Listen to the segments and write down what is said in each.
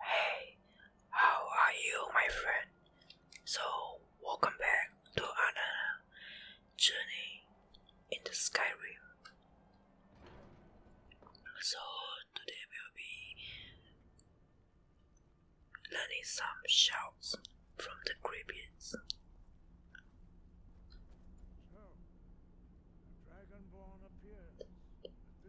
Hey, how are you, my friend? So, welcome back to another journey in the Skyrim. So, today we'll be learning some shouts from the Gribbons.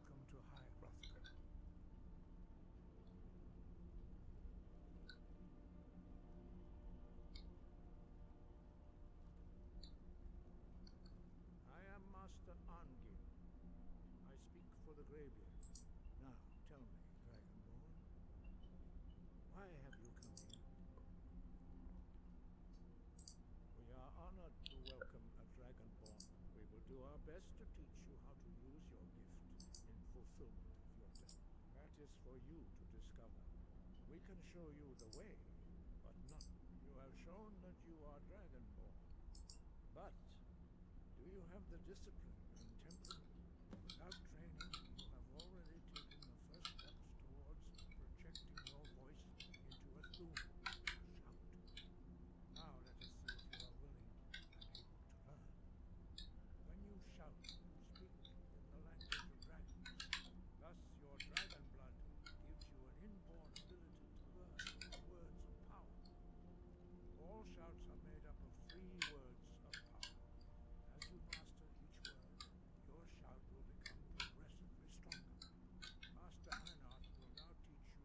Welcome to High Hrothgar. I am Master Angin. I speak for the graveyard. Now, tell me, Dragonborn, why have you come here? We are honored to welcome a Dragonborn we will do our best to teach you how to use your gift in fulfillment of your destiny. That is for you to discover. We can show you the way, but You have shown that you are Dragonborn. But, do you have the discipline and temper? Without training, you have already taken the first steps towards projecting your voice into a gloom. Shout. Now let us see if you are willing and able to learn. When you shout, speak in the language of dragons. Thus your dragon blood gives you an inborn ability to learn words of power. All shouts are made up of three words of power. As you master each word, your shout will become progressively stronger. Master Einart will now teach you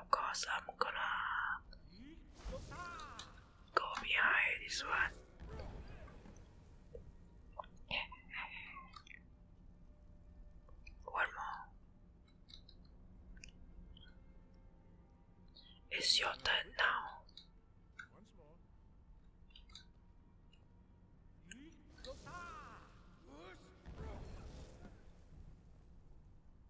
Of course, I'm gonna go behind this one. one more. It's your turn now.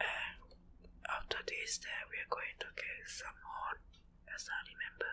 And um, after this, then we are going to get some hot, as I remember.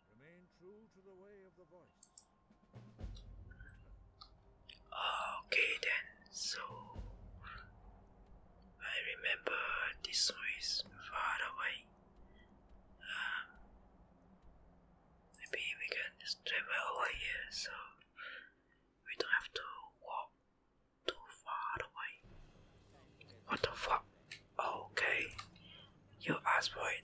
Okay then, so I remember this one far away. Um, maybe we can just travel over here so we don't have to walk too far away. What the fuck? Okay, you asked for it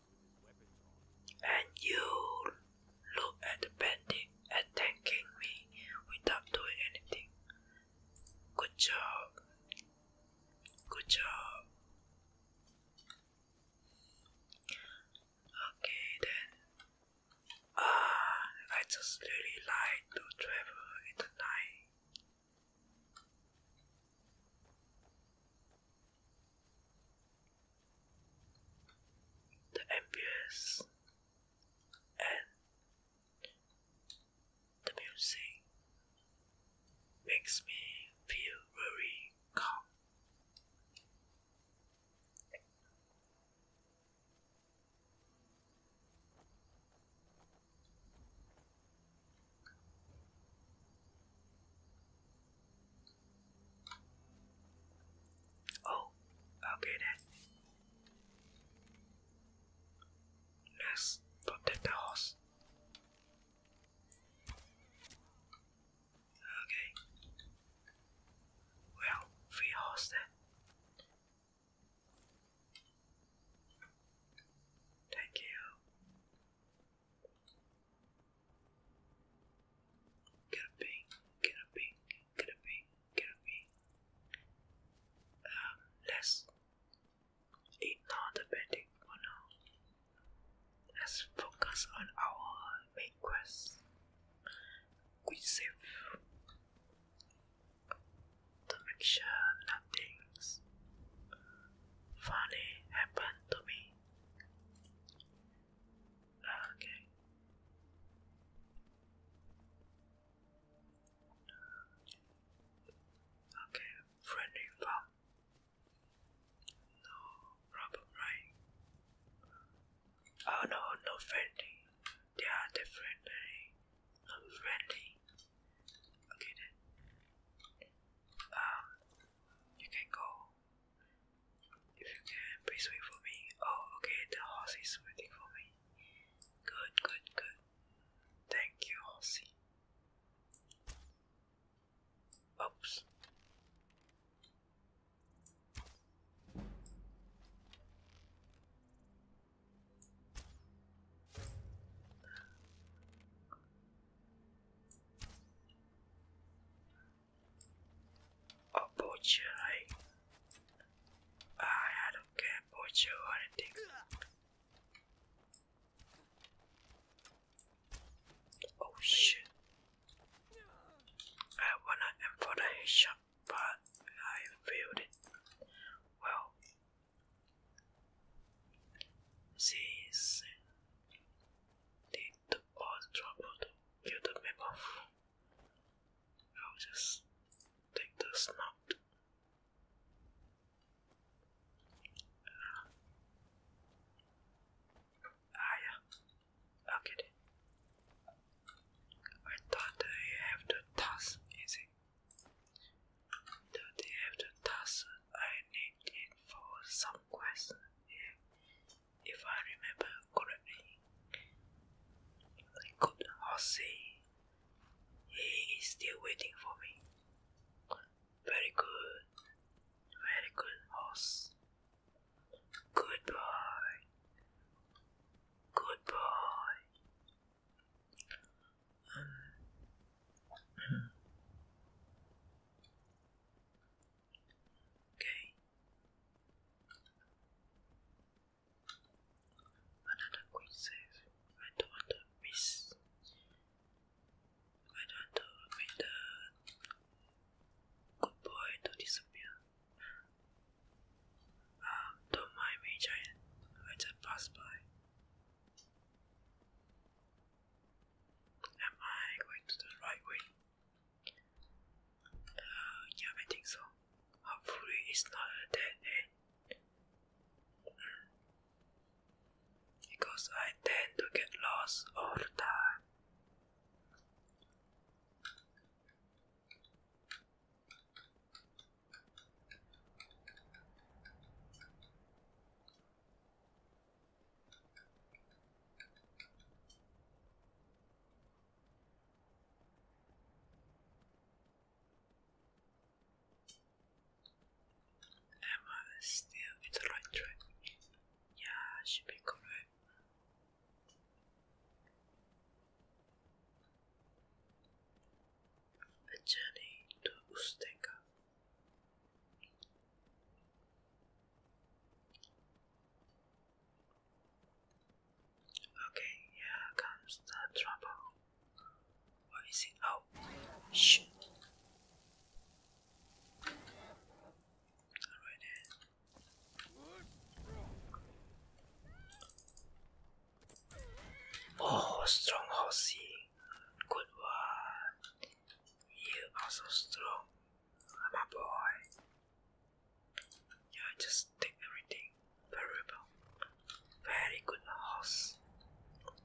And you look at the bandit attacking me without doing anything. Good job. Good job. Okay then. Ah, I just really like to travel in night the ambience and the music makes me feel very calm. Oh, okay then. Let's protect the horse. Okay. Well, free horse then. Thank you. Get a ping, get a ping, get a ping, get a ping. Um, let's ignore the betting for Let's focus on our main quest. We save to make sure nothing's funny happened to me. Okay. Okay, friendly No problem, right? Oh no, no friendly. They are different, no Okay then. Um, you can go. If you can, please wait for me. Oh, okay, the horse is waiting for me. Good, good, good. Thank you, horsey. Oops. Oh, butcher, like, I, I don't care, butcher or anything. Oh shit. I wanna aim for the headshot, but I failed it. Well, since they do all trouble to get the off. I'll just take the snout. ah, ah yeah, i get it. I do they have to toss? is it? That they have the task I need it for some quest if I remember correctly. Good Hossie, he is still waiting for me. Very good, very good horse. Good boy, Okay. Another queen says, I don't want to miss. I don't want to make the good boy to disappear. Um, don't mind me, giant. I just passed by. Am I going the right way? Uh, yeah, I think so. Hopefully, it's not a end. Because I tend to get lost all the time. Am I still in the right track? Yeah, should be correct. The journey to Usteka Okay, here comes the trouble. What is it? Oh, shoot. Alright then. Oh, strong horsey. Good one. You are so strong i oh, boy. Yeah, just take everything. Very Very good horse.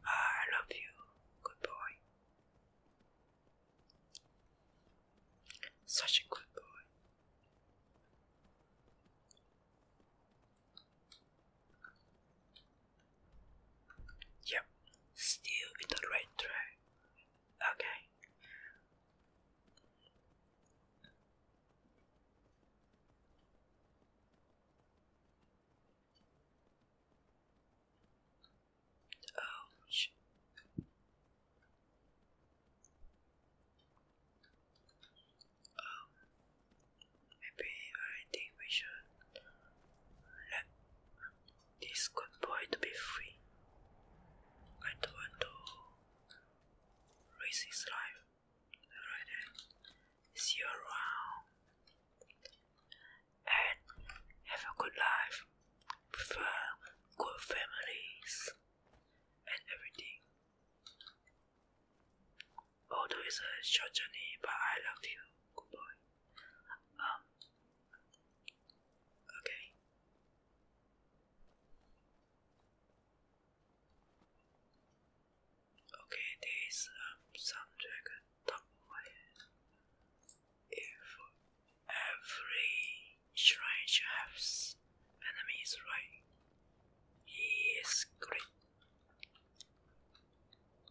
Ah, I love you. Good boy. Such a good boy. Yep, still in the right track. Okay. Oh, Oh, maybe I think we should let this good boy to be free. I don't want to risk his life. Alright See you around. And have a good life. Prefer good families and everything. Although it's a short journey, but I love you. Good boy. Um, okay. Okay, there is um, some dragon If every shrine has enemies, right? He is great.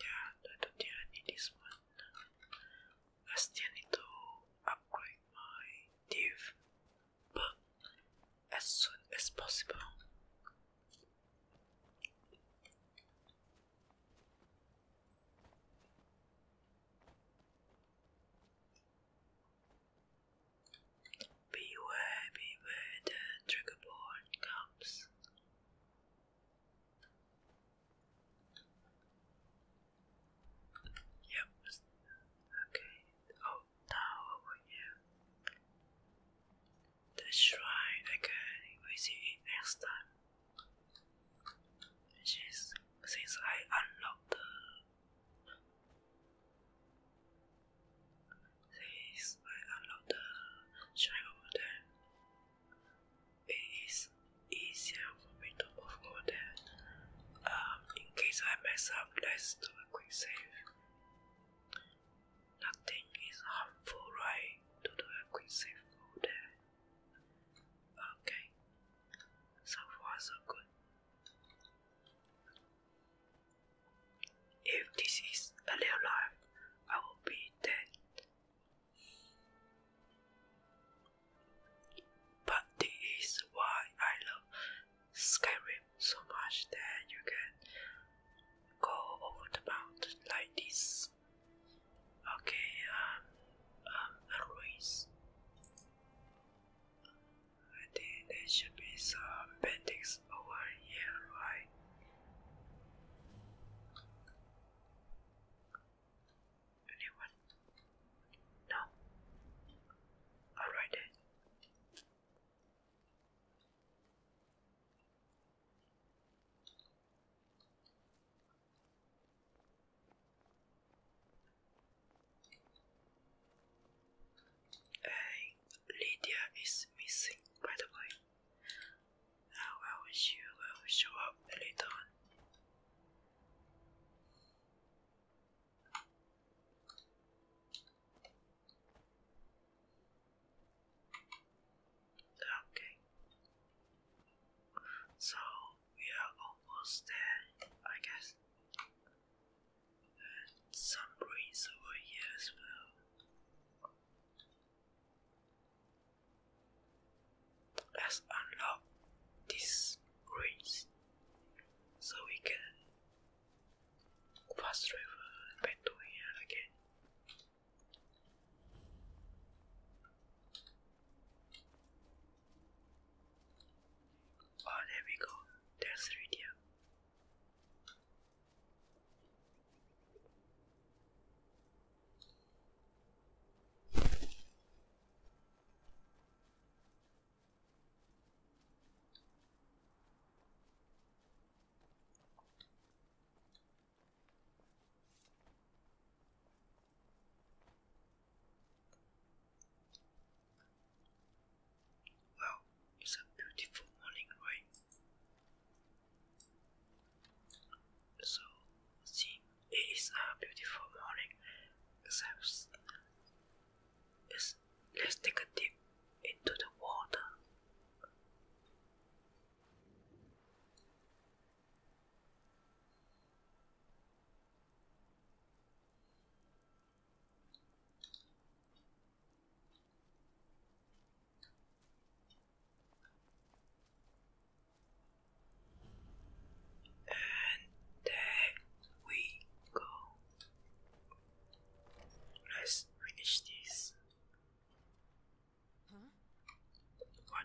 Yeah, I don't this one. I still need to upgrade my div, but as soon as possible. Beware, beware, the triggerborn comes. Yep. Okay. Oh, now over here. The shrine again. We see next time. Since since I unlocked since I unlocked the shrine it is easier for me to move over Um, in case I mess up, let's do a quick save. Nothing is harmful, right? To do a quick save over there. Okay, so far so good. If this is a real life, I will be dead. But this is why I love Skyrim so much that you can go over the mountain like this. Okay, um, um, I think there should be some paintings over here, right? Anyone? No? Alright then. Hey, Lydia is missing, by the way. I will she will show up later Okay. So we are almost there, I guess. some breeze over here as well. Let's unlock this breeze so we can fast travel back to here again. Oh, there we go. There's Rydia. Wow, it's a beautiful morning, right? So, see, it is a beautiful morning, except it's, let's take a dip into the water. And there we go. Let's finish this. What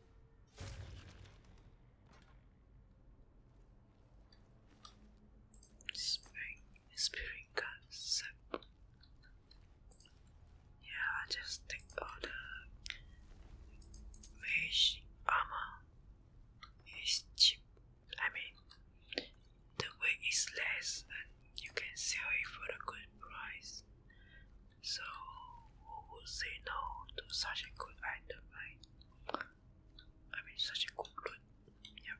Spring, spring concept. Yeah, I just take all the mesh armor. It's cheap. I mean, the weight is less, and you can sell it for a good price. So, who would say no to such a good item, right? I mean, such a good loot. Yep.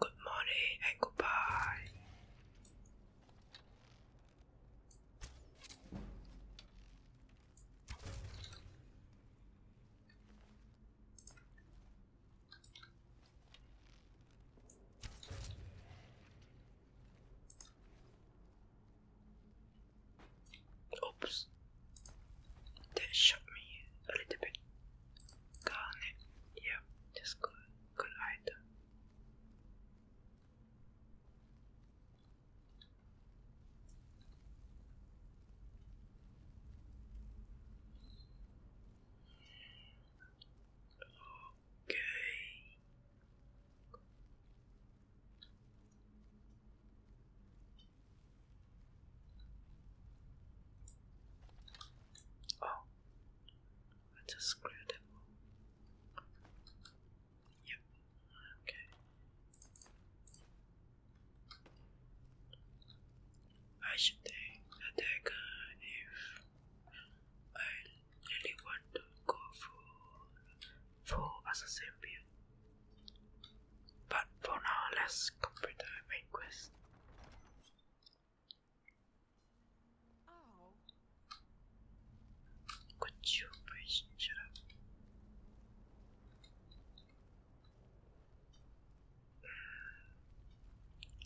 Good morning and goodbye. Oops, that shot me a little bit. Got Yeah, that's good. Good item. Okay. Oh, I just screwed them all. Yep. Okay. I should take a dagger if I really want to go for, for assassin build. But for now, let's complete the main quest. Could you please shut up?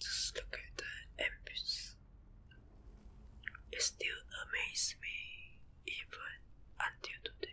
Just look at the ambience. It still amazes me even until today.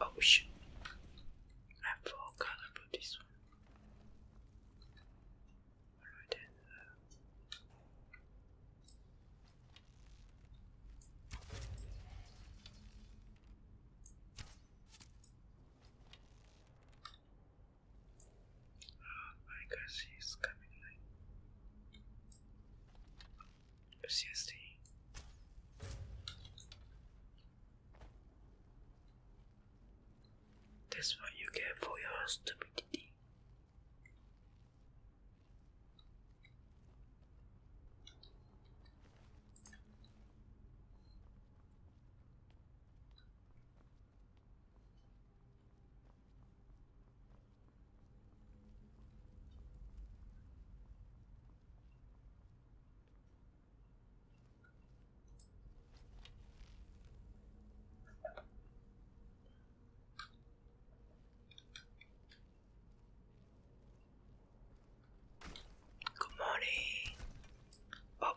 Ocean. Oh, shit. I forgot about this one. Alright Oh my guess she's coming like seriously. That's what you get for your stupidity. Good morning. Oh,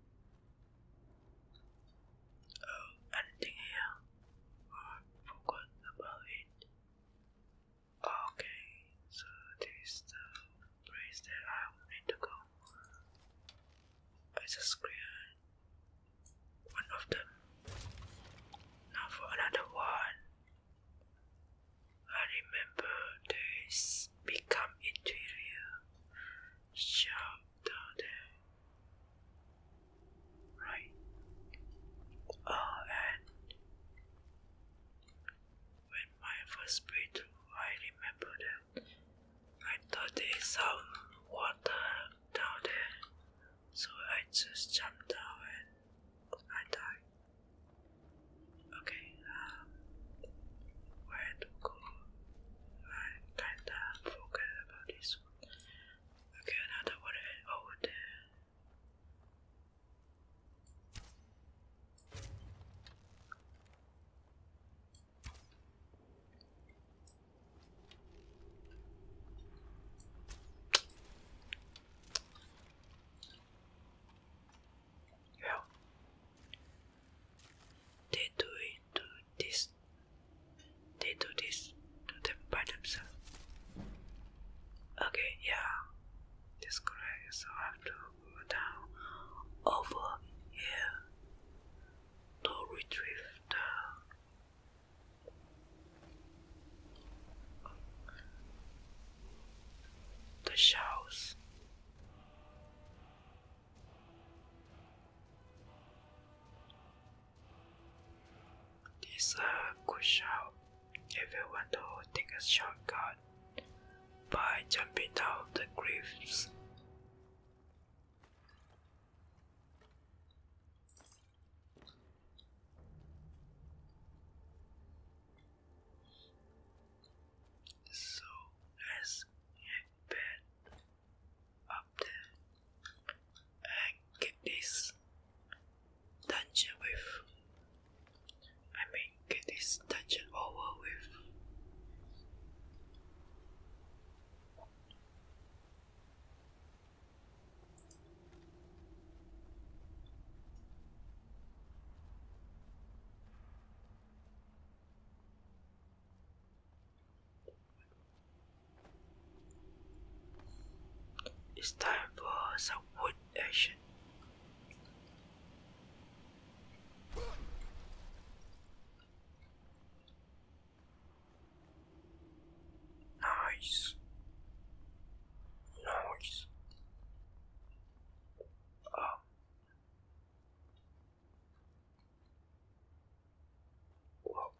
Oh, anything here? I forgot about it. Okay, so this is the place that I will to go. I just cleared one of them. Now for another one. I remember this become interior sharp daughter. Right. Oh, and when my first breath, I remember that I thought there is some water down there, so I just jumped down and I died. Okay, um, where to go? I kinda forget about this one. Okay, another one over oh, there. Well, they do it to this. They do this to them by themselves. Okay, yeah, that's correct. So I have to go down over here to retrieve the. The shells. This a uh, good shot if you want to take a shortcut by jumping down the cliffs. So as he bent up there and get this dungeon with I mean get this dungeon over with it's time for some wood action. Nice. Nice. Um, Whoa.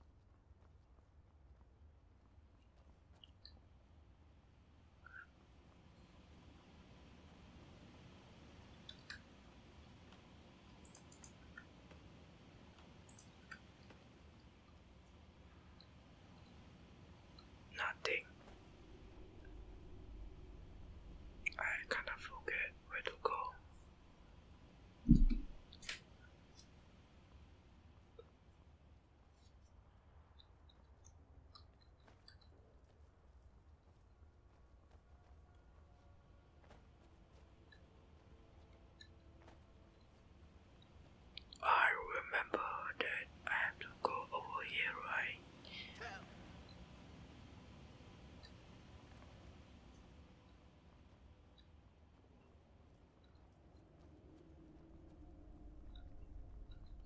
Nothing. I kind of forget where to go. I remember that I have to go over here, right?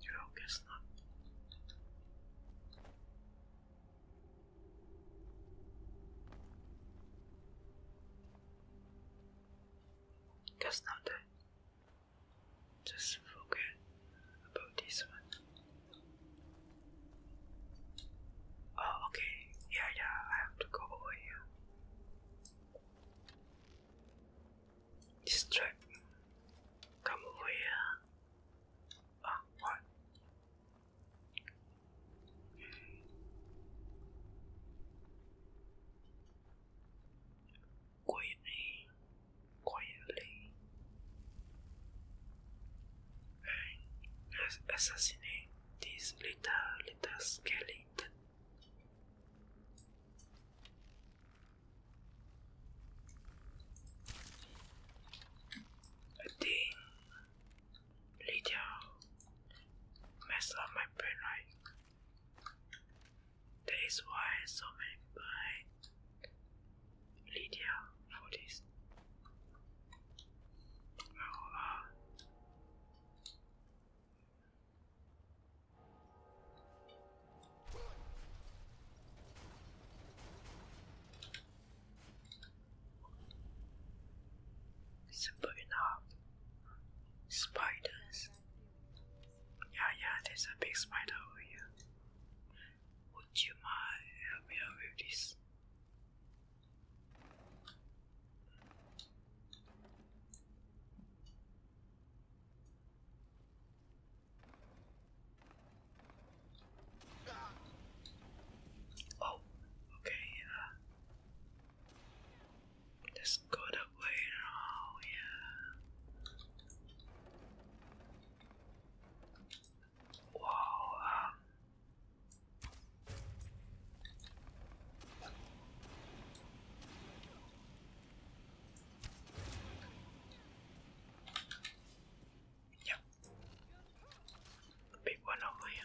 Yeah, I guess not. Guess not that. Just forget about this one. Oh, okay. Yeah, yeah, I have to go over here. This Come over here. Ah, what? Okay quietly and assassinate this little little skeleton. I think little mess up my brain right. That is why so many birds Lydia for this. Simple enough. Spiders. Yeah, yeah, there's a big spider over here. Would you mind help me out with this? Oh, okay, uh, oh, yeah. let go that way yeah. Wow. Yep. Big one over here.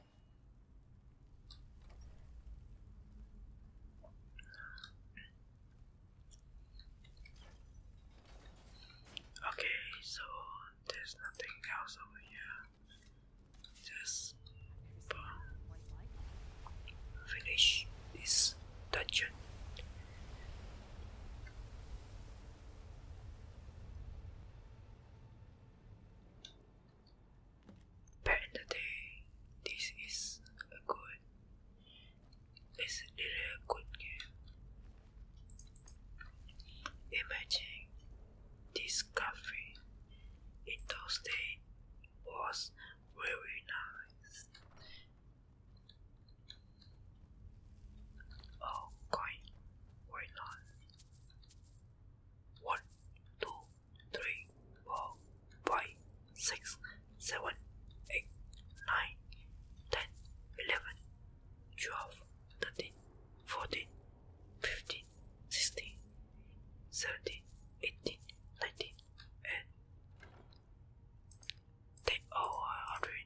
Okay, so there's nothing else over here. Just finish this dungeon. Back in the day, this is good. It's really good game. Imagine this cafe those days was very nice. Oh, coin, why not? One, two, three, four, five, six, seven, eight, nine, ten, eleven, twelve, thirteen, fourteen, fifteen, sixteen, seventeen, eighteen, nineteen, and ten over oh, hundred.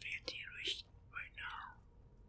Fifty reached right now.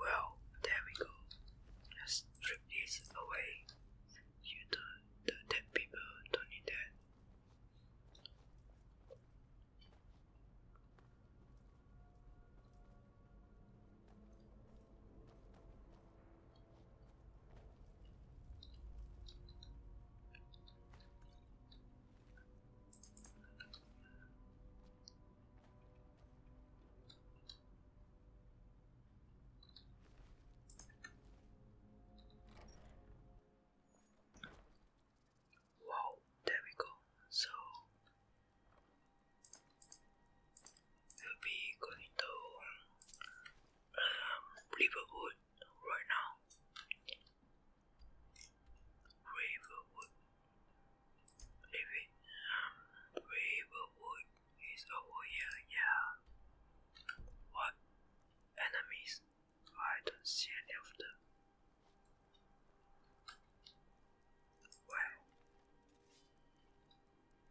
Well, there we go. Let's strip this away. You don't, the dead people don't need that. Wow, there we go. So will be going to um, Riverwood right now. Riverwood. Living, um, Riverwood is over here, yeah. What? Enemies? I don't see any of them. Well,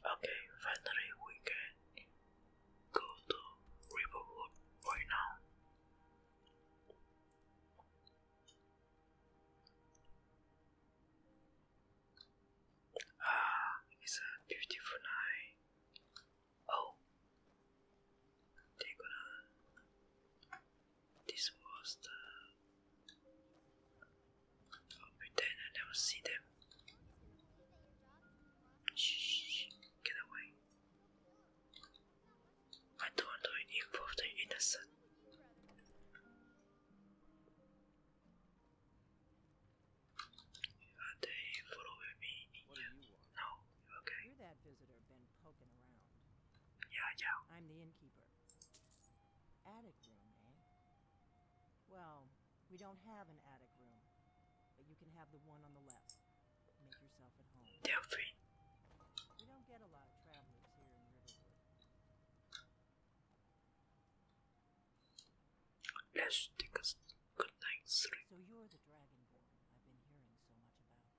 Okay, finally we can go to Riverwood right now. Ah, it's a beautiful night. Oh, they gonna. This was the. I'll oh, pretend I never see them. shh, get away. I don't want to involve the innocent. Are they following me No. Okay. You're that visitor been poking around. Yeah, yeah. I'm the innkeeper. Attic room, eh? Well, we don't have an attic room, but you can have the one on the left. Make yourself at home. Yeah, free. We don't get a lot of travelers here in Riverwood. Let's take a so you're the dragonborn I've been hearing so much about.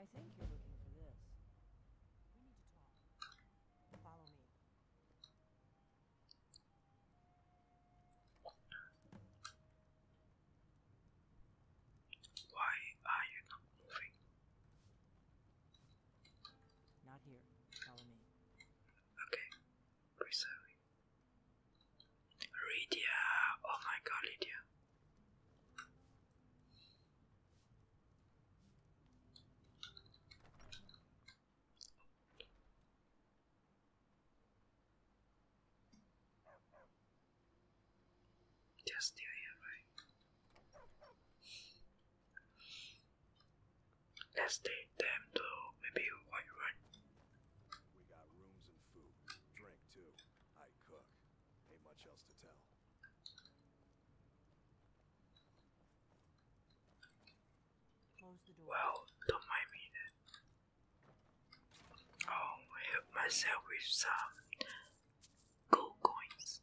I think you're looking for this. We need to talk. Follow me. Why are you not moving? Not here. Follow me. Okay. Preserving. Lydia, oh my god, Lydia. Just still here, right? Let's take them to maybe White Run. We got rooms and food. Drink, too. I cook. Ain't much else to tell. Well, don't mind me then. Oh, help myself with some uh, gold coins.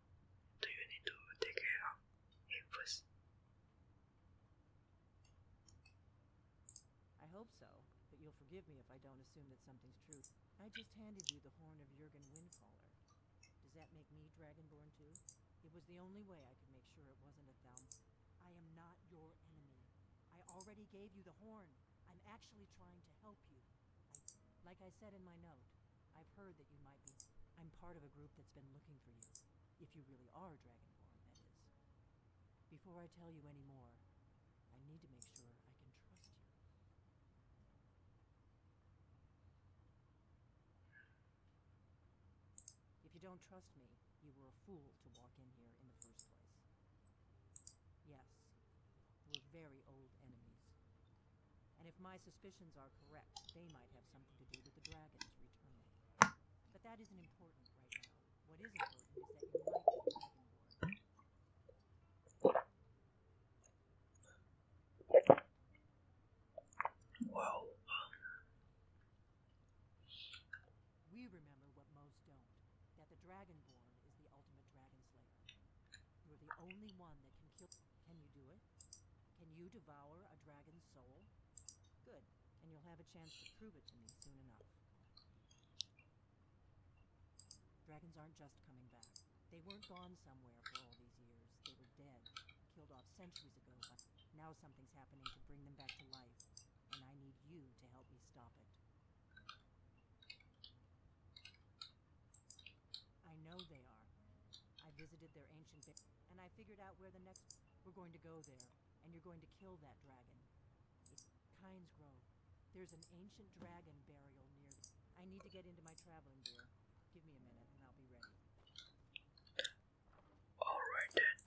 Do you need to take care of him first? I hope so, but you'll forgive me if I don't assume that something's true. I just handed you the horn of Jurgen Windcaller. Does that make me Dragonborn too? It was the only way I could make sure it wasn't a thumb. I am not your enemy. I already gave you the horn. I'm actually trying to help you. like I said in my note, I've heard that you might be... I'm part of a group that's been looking for you. If you really are Dragonborn, that is. Before I tell you any more, I need to make sure I can trust you. If you don't trust me, you were a fool to walk in here in the first place. Yes, we're very old enemies. And if my suspicions are correct, they might have something to do with the dragons return. But that isn't important right now. What is important is that Well, we remember what most don't, that the dragonborn is the ultimate dragon slayer. the only one that can kill can you do it? Can you devour a dragon's soul? Good, and you'll have a chance to prove it to me soon enough. Dragons aren't just coming back. They weren't gone somewhere for all these years. They were dead, killed off centuries ago, but now something's happening to bring them back to life, and I need you to help me stop it. I know they are. I visited their ancient and I figured out where the next... We're going to go there, and you're going to kill that dragon. It's Grove. There's an ancient dragon burial near... I need to get into my traveling gear. Give me a minute, and I'll be ready. Alright then.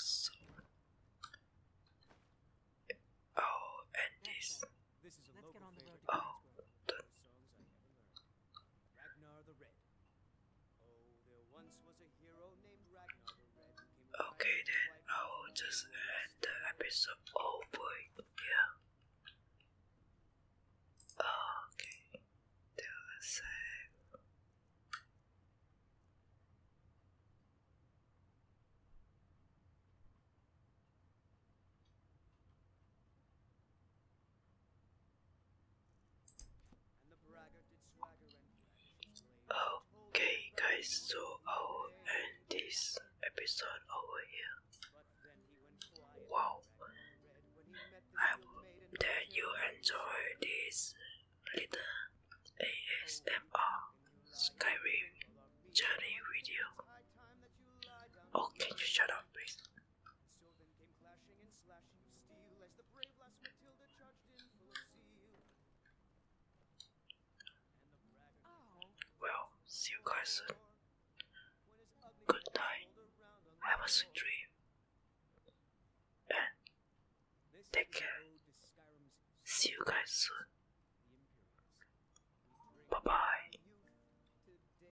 So... Oh, and this... Oh, Ragnar the Red. Oh, okay then I will just end the episode over yeah. Okay. There I save. Okay, guys, so I'll end this episode over here. Wow, I hope that you enjoy this little ASMR Skyrim journey video. Okay, oh, you shut up, please? and slashing of steel as the brave lass Matilda charged in full of zeal. Oh. Well, see you guys soon. Good night. Have a sweet dream. And take care. See you guys soon. Bye bye.